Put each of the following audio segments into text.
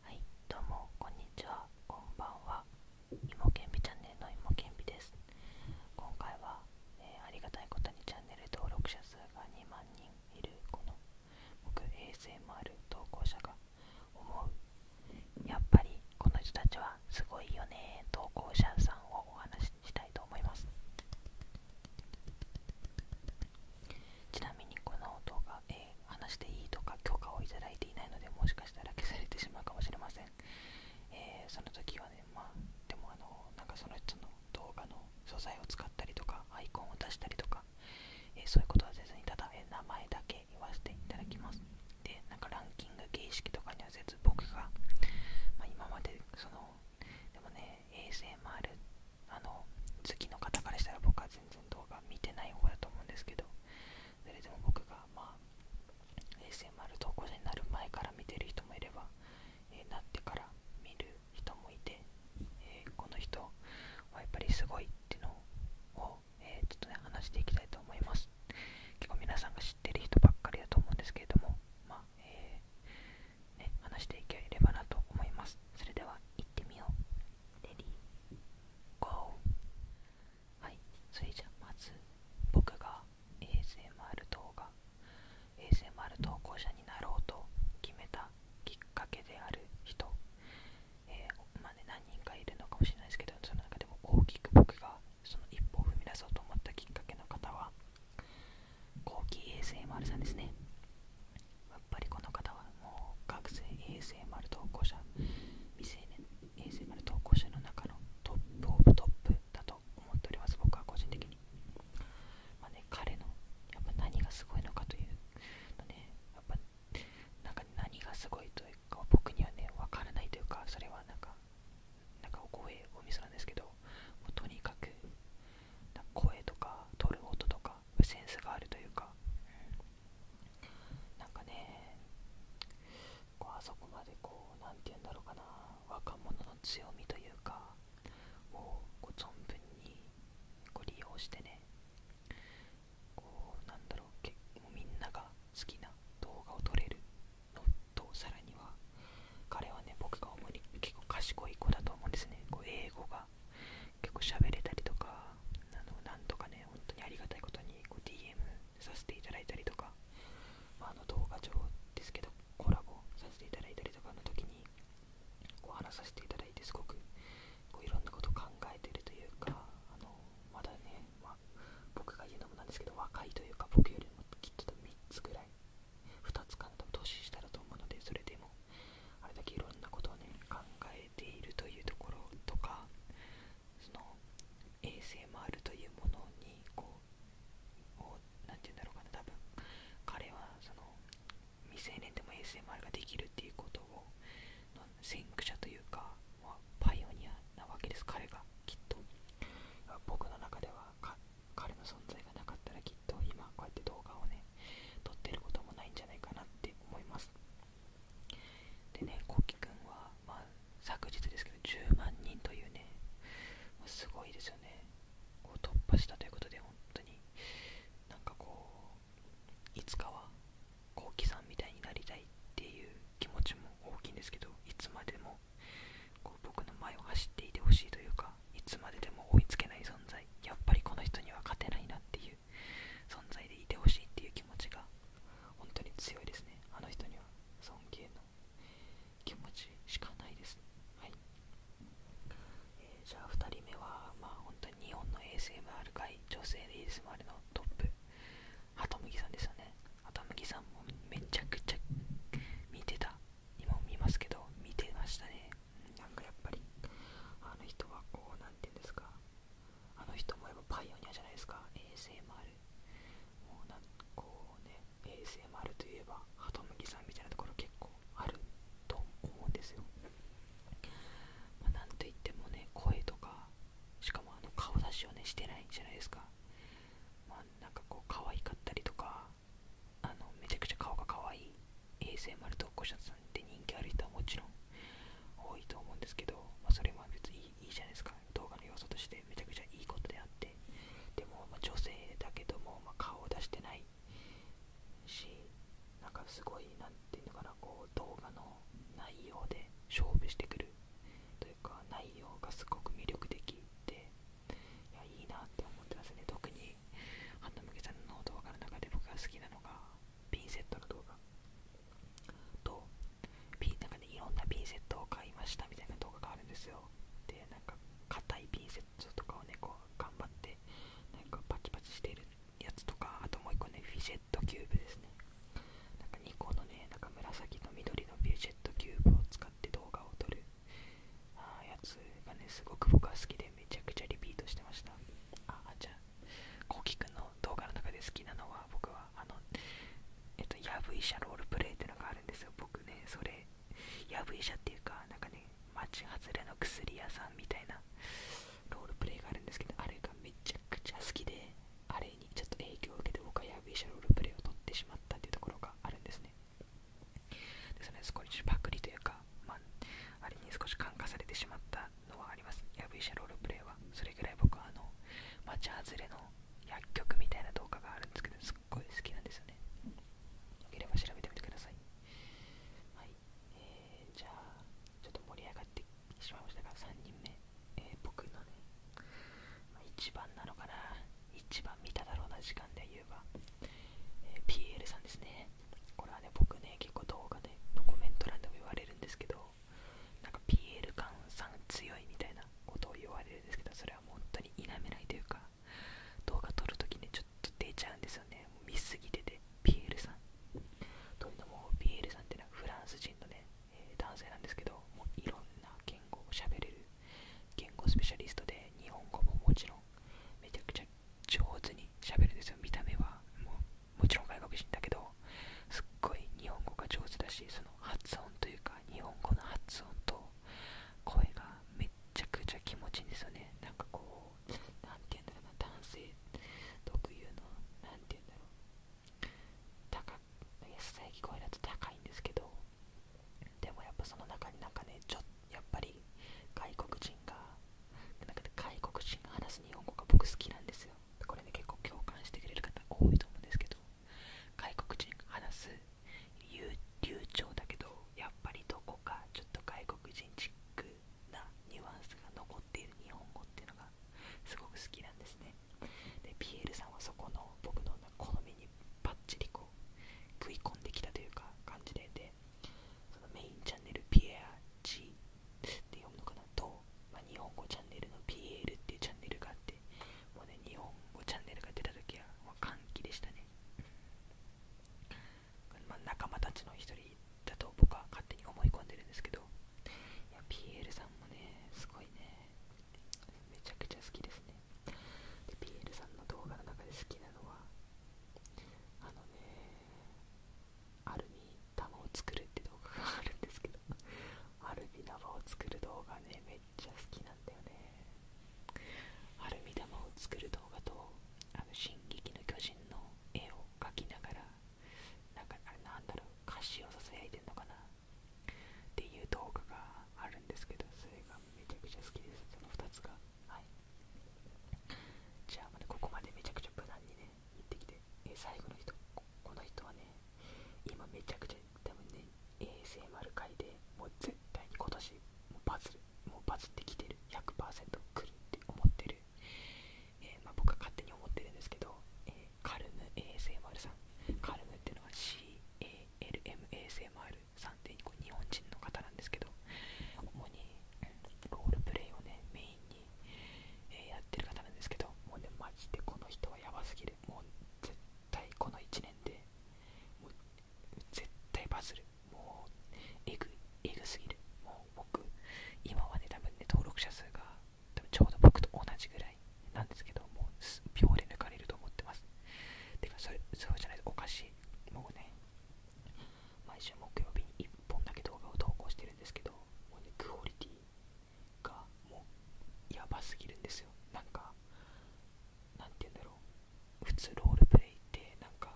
はい、どうもこんにちは、こんばんは。いもけんぴチャンネルのいもけんぴです。今回は、えありがたいことにチャンネル登録者数が2万人いるこの僕衛 a もある投稿者が思うやっぱりこの人たちはすごいよね投稿者さんをお話ししたいと思いますちなみにこの動画、え話していいとか許可をいただいていないのでもしかしたら消されてしまうかもしれません、えー、その時はねまあでもあのなんかその人の動画の素材を使ったりとかアイコンを出したりとか、えそういうことはせずにただ、え名前だけ言わせていただきますでなんかランキング形式とかにはせず僕が、ま今までそのでもね ASMR あの好の方からしたら僕は全然動画見てない方だと思うんですけどそれでも僕がまあ ASMR 投稿者になる前から見てる人もいれば、えなってから見る人もいて、えこの人はやっぱりすごいっていうのを、えちょっとね話していきたいと思います結構皆さんが知ってる人ばっかりだと思うんですけれどもまえね、話していければなと思います。それではいってみよう。レディー、ゴー。はい、それじゃまず僕が ASMR 動画、ASMR 投稿者になろうと決めたきっかけである人、えー、まあね、何人かいるのかもしれないですけど、その中でも大きく僕がその一歩を踏み出そうと思ったきっかけの方は、後期 a s m さんですねやっぱりこの方はもう学生 ASMR 投稿者未成年 ASMR 投稿者の中のトップオブトップだと思っております僕は個人的にまね彼のやっぱ何がすごいのかというのねやっぱなんか何がすごいというか僕にはね分からないというかそれはなんかなんかお声お店なんですけどとにかく声とか撮る音とかセンスがあるというか、うなんかねこうあそこまでこう何て言うんだろうかな若者の強みというかを存分にこ利用してねこうなんだろうけみんなが好きな動画を撮れるのとさらには彼はね僕が主に結構賢い子だと思うんですねこう英語が結構喋れたりとかあのなんとかね本当にありがたいことにこう DM させていただいたりとか、まあ、の動画上ですけどコラボさせていただいたりとかの時にこう話させていただいてすごくこういろんなこと考えてるというかあのまだね、ま僕が言うのもなんですけど若いというか僕よりもきっと3つぐらい2つ間と投資したらと思うのでそれでもあれだけいろんなことをね考えているというところとかその ASMR というものにこう何て言うんだろうかな多分彼はその未成年でも ASMR ができるっていうことをの先駆者というか、まあ、パイオニアなわけです彼がきっと僕の中では彼の存在がなかったらきっと今こうやって動画をね撮ってることもないんじゃないかなって思いますでねこうきくんは、ま昨日ですけど10万人というねすごいですよねこう突破したということで本当になんかこういつかはこうきさんみたいになりたいっていう気持ちも大きいんですけどいつまでもこう僕の前を走っていてほしいというかいつまででも追いつけない存在やっぱりこの人には勝てないなっていう存在でいてほしいっていう気持ちが本当に強いですねあの人には尊敬の気持ちしかないです、はいえじゃあ2人目は、ま本当に日本の ASMR 界女性で ASMR のトップハトムギさんですよねハトムギさんもめちゃくちゃ見てた今も見ますけど見てましたねなんかやっぱりあの人はこう何て言うんですかあの人もやっぱパイオニアじゃないですか ASMR もうなんこうね ASMR といえばハトムギさんみたいなところ結構あると思うんですよ、まなんといってもね声とかしかもあの顔出しをねしてないじゃないですかなんかこう可愛かったりとかあのめちゃくちゃ顔が可愛い ASMR 投稿者さんって人気ある人はもちろん多いと思うんですけど、まあ、それも別にいいじゃないですか動画の要素としてめちゃくちゃいいことであってでもま女性だけどもま顔を出してないしなんかすごい何て言うのかなこう動画の内容で勝負してくるというか内容がすごく魅力的でいやいいなって思ってますね特にハンナムケさんの動画の中で僕が好きなのがピンセットの動画とピンなんかねいろんなピンセットを買いましたみたいな動画があるんですよでなんか硬いピンセットとかをねこう頑張ってなんかパチパチしてるやつとかあともう1個ねフィジェットキューブですねなんか2個のねなんか紫と緑のフィジェットキューブを使っっ動画を撮るあやつがねすごく僕は好きでめちゃくちゃリピートしてましたああじゃあこうきくんの動画の中で好きなのは僕はあのえっとやぶ医者ロールプレイってのがあるんですよ僕ねそれやぶ医者っていうかなんかね町外れの薬屋さんみたいなロールプレイがあるんですけどあれがめちゃくちゃ好きであれにちょっと影響を受けて僕はヤブビーシャロールプレイを取ってしまったっていうところがあるんですね。ですので、少しパクリというか、まあ、れに少し感化されてしまったのはあります。ヤブビーシャロールプレイは。それぐらい僕はあの、街外れの薬局みたいな動画があるんですけど、すっごい好きなんですよね。よければ調べてみてください。はい。えー、じゃあ、ちょっと盛り上がってしまいましたが、3人目。えー、僕のね、まあ、一番なのかな、一番見ただろうな時間で言えば、えー、PL さんですね。これはね、僕ね、結構動画でのコメント欄でも言われるんですけど、なんか PL 感さん強いみたいなことを言われるんですけど、それは本当に否めないというか、動画撮るときね、ちょっと出ちゃうんですよね。もう見すぎてて、PL さん。というのも、PL さんってのはフランス人のね、え男性なんですけど、もういろんな言語を喋れる言語スペシャリストで、日本語ももちろんめちゃくちゃ上手にしゃべるんですよ。見た目はもうもちろん外国人だけど、すっごい日本語が上手だし、その発音というか、日本語の発音と声がめっちゃくちゃ気持ちいいんですよね。なんかこう、なて言うんだろうな、男性特有の、なて言うんだろう、野菜聞こえだと高いんですけどでもやっぱその中になんかねちょやっぱり外国人がなんか外国人が話す日本語が僕好きなんですよこれね結構共感してくれる方多いと思うんですけど外国人が話す流暢だけどやっぱりどこかちょっと外国人チックなニュアンスが残っている日本語っていうのがすごく好きなんですねでピエールさんはそこの僕の好みにバッチリこう食い込んできたというか感じででそのメインチャンネルピエア G って読むのかなと、ま日本語チャンネルの PL っていうチャンネルがあってもうね日本語チャンネルが出た時はも歓喜でしたねま仲間たちの一人だと僕は勝手に思い込んでるんですけどいや PL さんもねすごいねめちゃくちゃ好きですねでールさんの動画の中で好きなのはあのねアルミ玉を作るって動画があるんですけどアルミ玉を作る動画ねめっちゃ好きなんだよねアルミ玉を作る動画と「あの進撃の巨人」の絵を描きながらなかあなんだろう歌詞をささやいてんのかなっていう動画があるんですけどそれがめちゃくちゃ好きですその2つがはいじゃあまだここまでめちゃくちゃ無難にね行ってきて、え最後の人この人はね今めちゃくちゃ多分ね ASMR 界でもう絶対に今年もバズるもうバズってきてる100%来るって思ってるえま僕は勝手に思ってるんですけど、えカルム ASMR さんカルムっていうのは CALMASMR さんって日本人の方なんですけど主にロールプレイをねメインに、えやってる方なんですけどもうねマジでこの人はやばすぎるもう絶対この1年でもう絶対バズるもうエグえぐすぎるもう僕今はね多分ね登録者数がちょうど僕と同じぐらいなんですけど、もう秒で抜かれると思ってます。てかそれ、うじゃないとおかしい。もうね、毎週木曜日に1本だけ動画を投稿してるんですけど、もうね、クオリティがもうやばすぎるんですよ。なんか、なんて言うんだろう。普通ロールプレイって、なんか、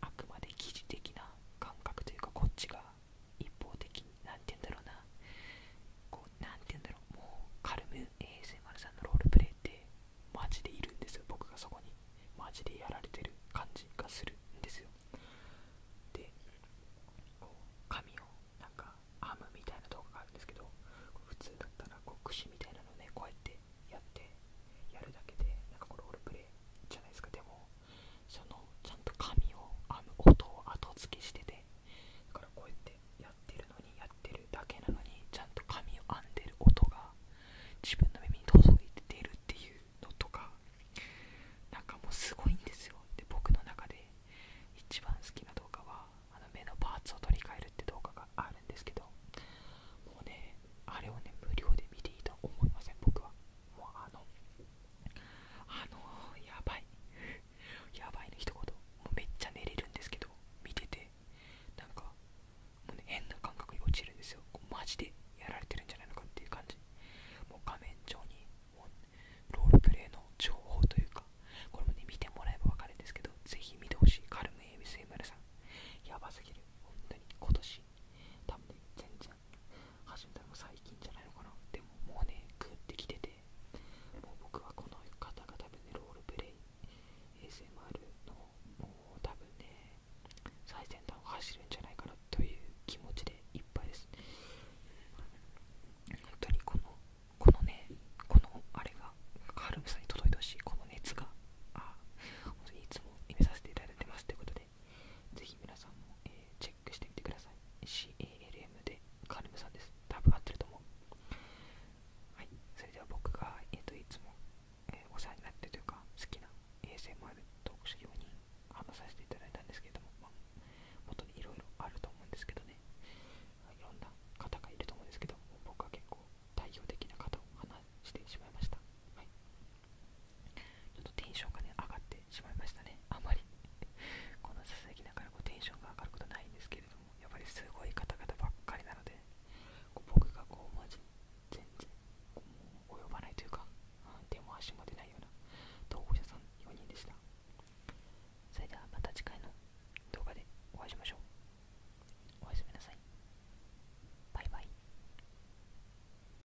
あくまで記事的な感覚というか、こっちが一方的何て言うんだろうな、こう、なて言うんだろう、もう、カルム ASMR さんのロールプレイって、マジでいるんですよ、僕がそこに。マジでやられてる感じがするんですよ。で、こう、紙を、なんか、編むみたいな動画があるんですけど、普通だったら、こう、櫛みたいなのね、こうやってやって、やるだけで、なんかこれロールプレイじゃないですか、でも、そのちゃんと紙を編む音を後付けしててだからこうやってやってるのにやってるだけなのにちゃんと紙を編んでる音が自分の耳に届いて出るっていうのとかなんかもうすごいんですよで僕の中で一番好きな動画はあの目のパーツを取り替えるって動画があるんですけどもうねあれをね無料で見ていいとは思いません僕はもうあのあのやばい やばいの一言もめっちゃ寝れるんですけど見ててなんかもう、変な感覚に落ちるんですよマジでやられてるんじゃないのかっていう感じもう画面上にロールプレイの情報というかこれもね見てもらえばわかるんですけどぜひ見てほしいカルム ABSMR さんやばすぎる本当に今年多分、ね、全然よ始めたの最近じゃないのかなでももうねグってきててもう僕はこの方が多分ねロールプレイ ASMR のもう多分ね最先端を走るんじゃないかなという気持ちでいっぱいです本当にこのこのねこのあれがカルムさんに届いてほしいこの熱があ本当にいつも見めさせていただいてますということでぜひ皆さんも、えチェックしてみてください CALM でカルムさんです多分合ってると思うはいそれでは僕が、えーと、いつも、えお世話になってというか好きな ASMR 特集クし話させていただいたんですけれども、まあ、元にいろいろあると思うんですけどねいろんな方がいると思うんですけど僕は結構代表的な方を話してしまいましたはいちょっとテンションがね、上がってしまいましたね。あまり このささやきながらこテンションが上がることないんですけれども、やっぱりすごい方々ばっかりなので、僕がこう、まじ全然こう及ばないというか、手も足も出ないような投稿者さん4人でした。それではまた次回の動画でお会いしましょう。おやすみなさい。バイバイ。